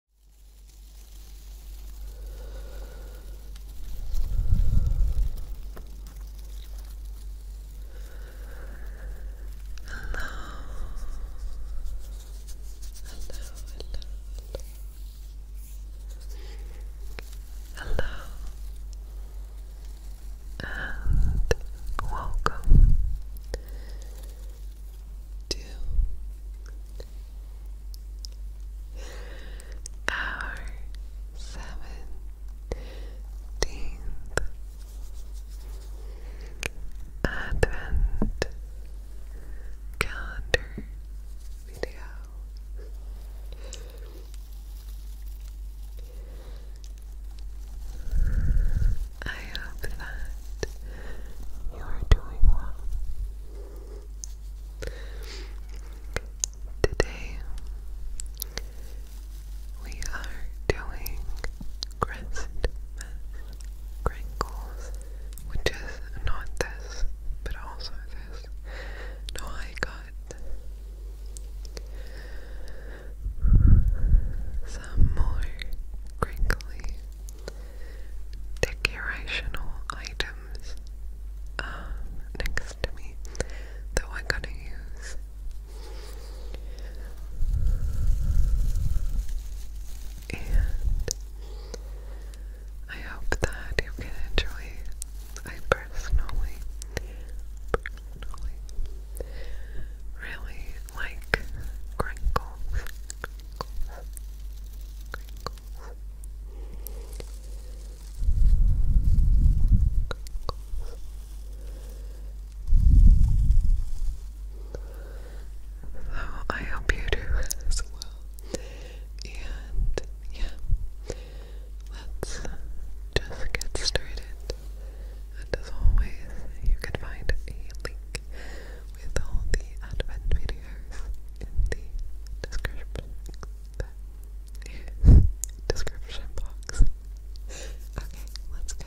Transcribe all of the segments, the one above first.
Hello. Hello, hello, hello. And welcome to our seventeenth Advent calendar video. I hope that you are doing well. Today we are doing Christmas crinkles, which is not this, but also this. No, I got some more crinkly decorational items um, next to me that we're going to use. And I hope that you can enjoy. I personally, personally, really like crinkles, crinkles, crinkles. So I hope you as well. And yeah, let's just get started. And as always, you can find a link with all the advent videos in the description box. Okay, let's go.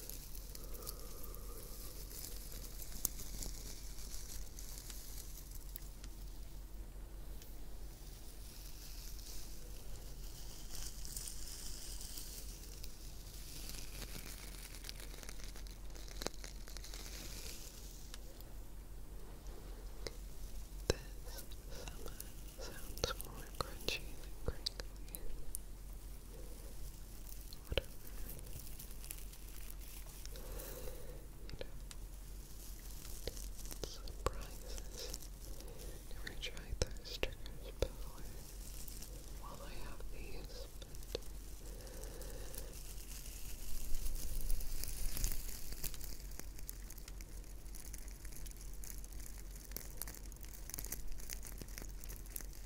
This summer sounds more crunchy than crinkly surprises. Never tried those triggers before. While I have these,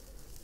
Crinkle,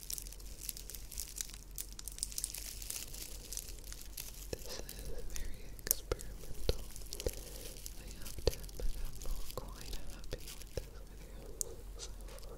This is very experimental. I have to admit quite happy with this video so far.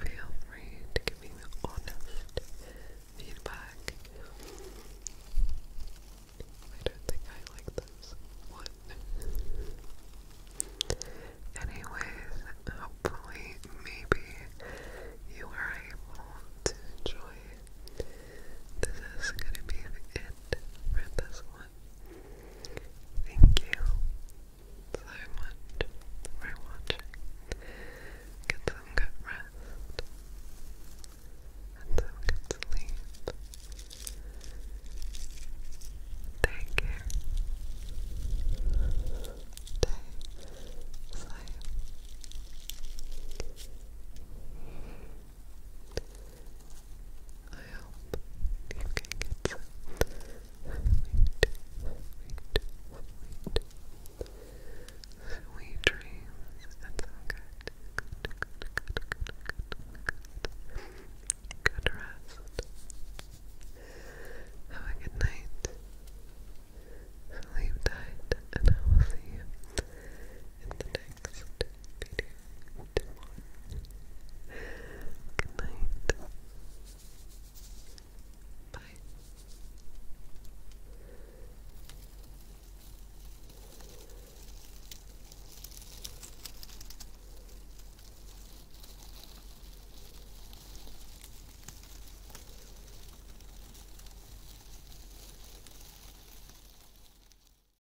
Feel free to give me honest feedback. I don't think I like this one. Anyways, hopefully, maybe you are able to enjoy. This is gonna be it for this one. Thank you so much for watching. Get some good rest and some good sleep. Take care. Stay safe. I hope you can get some sweet, sweet, sweet, sweet dreams. That's all good. Good, rest. Have a good night. Sleep tight, and I will see you in the next next video Good night. Bye.